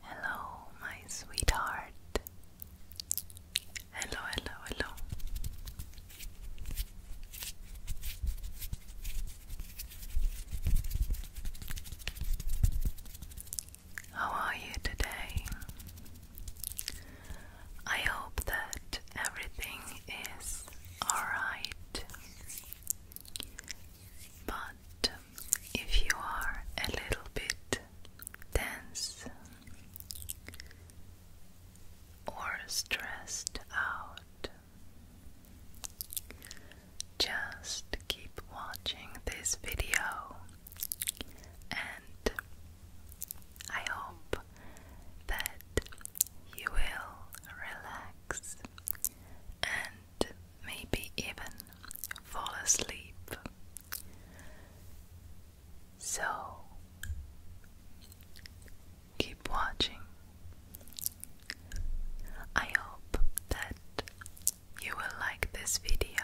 Hello, my sweetheart. Hello, hello, hello. How are you today? I hope that everything is alright. But if you are a little bit tense or stressed out, just keep watching this video, and I hope that you will relax and maybe even fall asleep. So keep watching. I hope that you will like this video,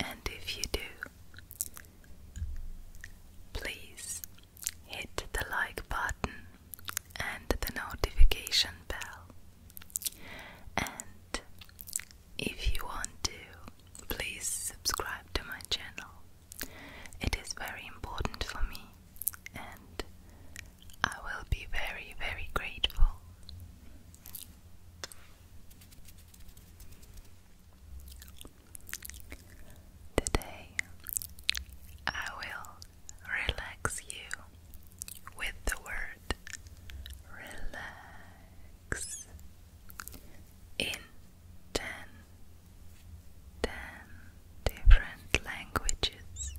and if you do, Please hit the like button and the notification bell. And if you want to, please subscribe to my channel. It is very important for me and I will be very, very grateful. Today, I will relax you with the word relax in 10, different languages.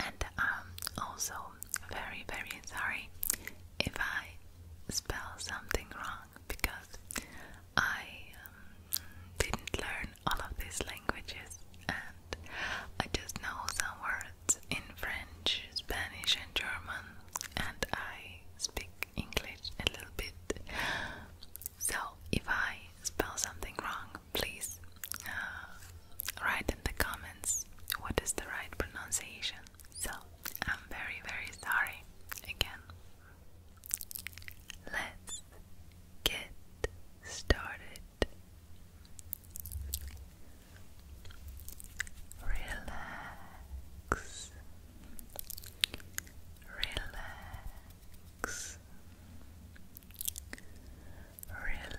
And I'm um, also very, very sorry if I spell something wrong because I um, didn't learn all of these languages and I just know some words in French, Spanish, and German, and I speak English a little bit. So if I spell something wrong, please uh, write in the comments what is the right pronunciation. So I'm very, very sorry again. Let's get started. Relax, relax, relax. Relax,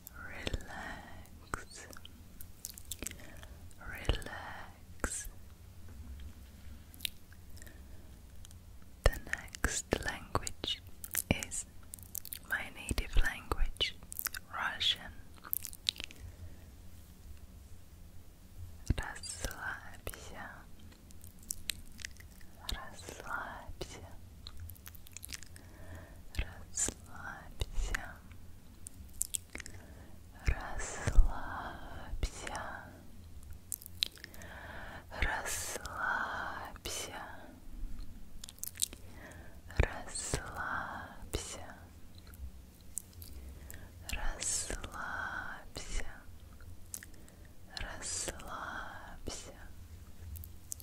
relax, relax. The next language is my native language, Russian. Расслабься, расслабься, расслабься, расслабься, расслабься, расслабься, расслабься, расслабься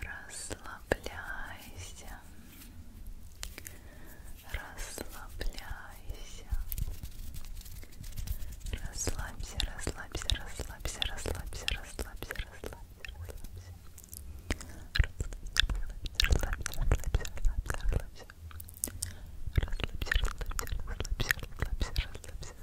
Расслабляйся. Расслабляйся. Расслабься, расслабься, расслабься, расслабься, расслабься, расслабься, расслабься. Расслабься, расслабься, расслабься, расслабься. Расслабься, расслабься, расслабься, расслабься, расслабься.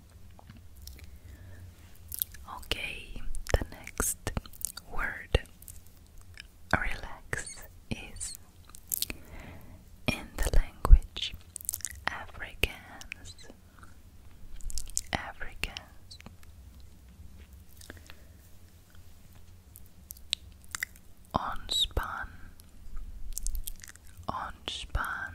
Okay, the next word relax is in the language Africans. Africans. Ontspan. Ontspan.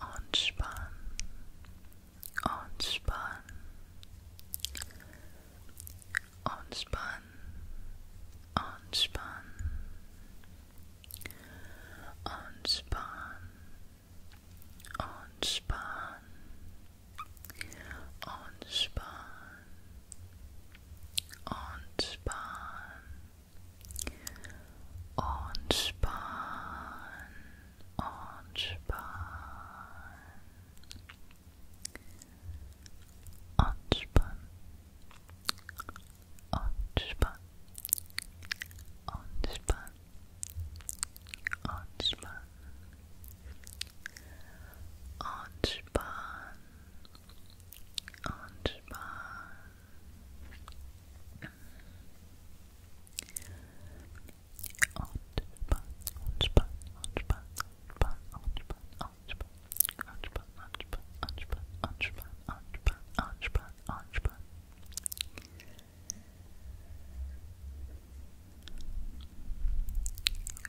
Anspan, Anspan, Anspan, Anspan, Anspan, Anspan, Anspan, Anspan. Entspann, entspann, entspann, entspann, entspann, entspann, entspann, entspann.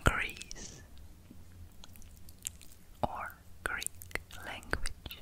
Greece or Greek language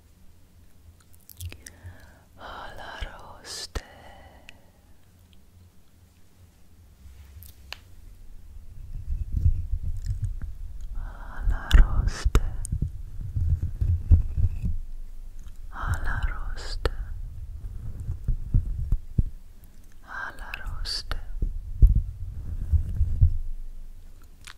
alla roste alla roste alla roste alla roste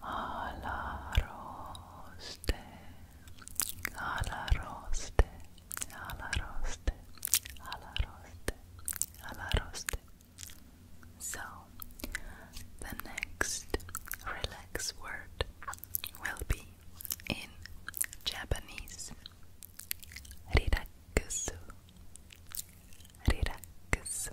alla roste, alla roste, alla roste, alla roste, alla roste. So, the next relax word will be in Japanese. Riraksu. Riraksu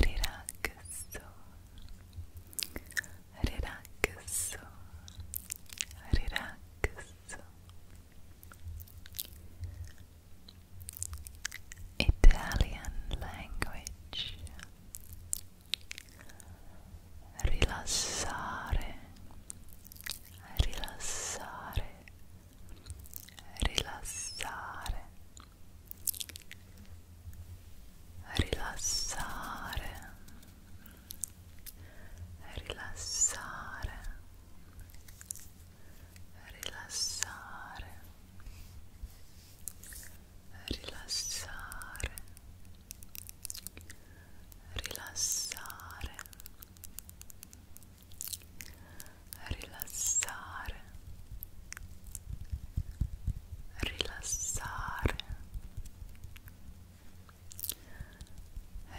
Relaxo. Relaxo. Relaxo. Italian language. Rilassare. Rilassare. rilassare rilassare rilassare rilassare rilassare rilassare rilassare rilassare rilassare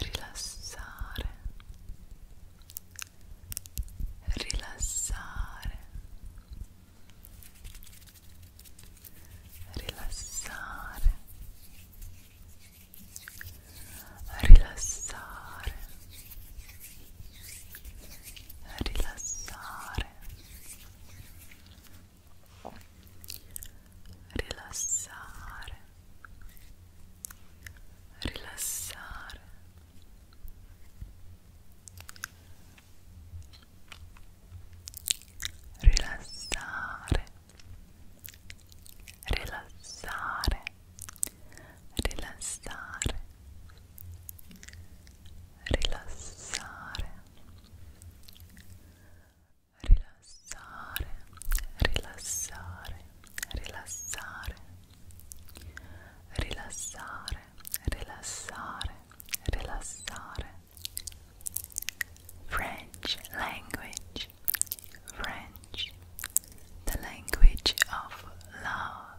rilassare rilassare rilassare rilassare rilassare rilassare rilassare rilassare rilassare rilassare rilassare rilassare rilassare rilassare rilassare rilassare rilassare rilassare French language French the language of love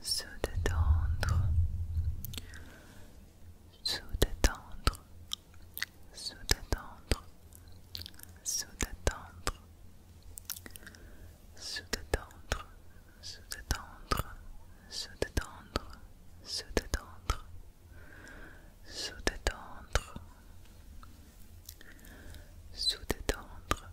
sous détendre sous détendre sous détendre sous détendre sous détendre sous détendre sous détendre sous détendre sous détendre sous détendre sous détendre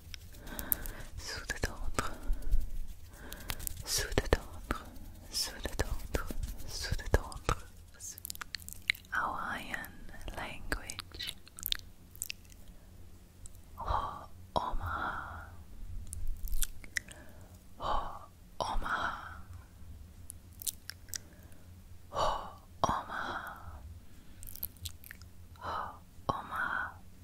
Hawaiian language. Ho Omaha. Ho Omaha. Ho Omaha. Ho Omaha.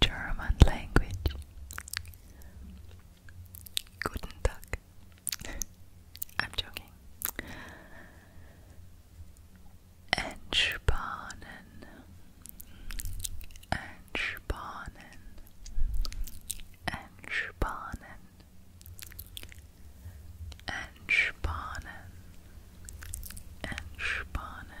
German language. Guten I'm joking. Entspannen. Entspannen. Entspannen. Entspannen. Entspannen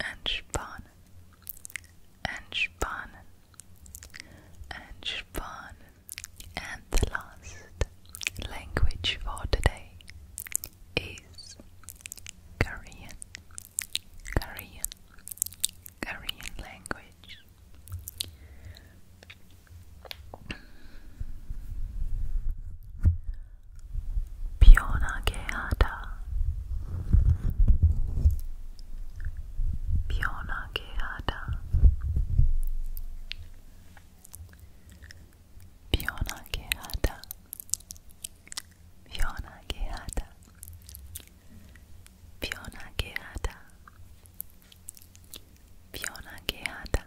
entspannen, entspannen, entspannen. And the last language for today is Korean, Korean, Korean language. 편하게 하다 편하게 하다 편하게 하다 편하게 하다 편하게 하다 편하게 하다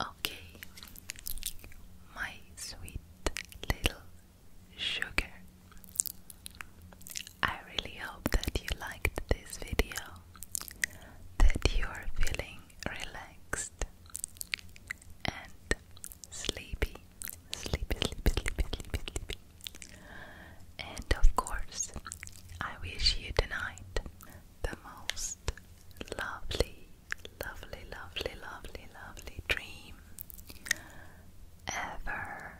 Okay, my sweet little sugar. I really hope that you liked this video, that you are feeling relaxed and sleepy, sleepy, sleepy, sleepy, sleepy, sleepy. And of course, I wish you tonight the most lovely, lovely, lovely, lovely, lovely dream ever.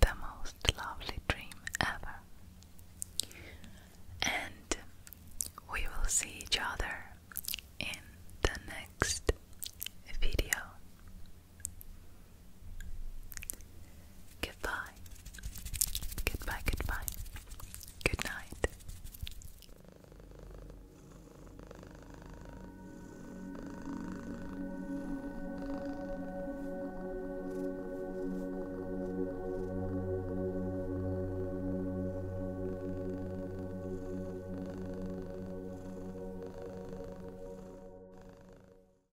The most lovely dream ever. And we will see each other in the next video. Goodbye. Goodbye, goodbye. Good night.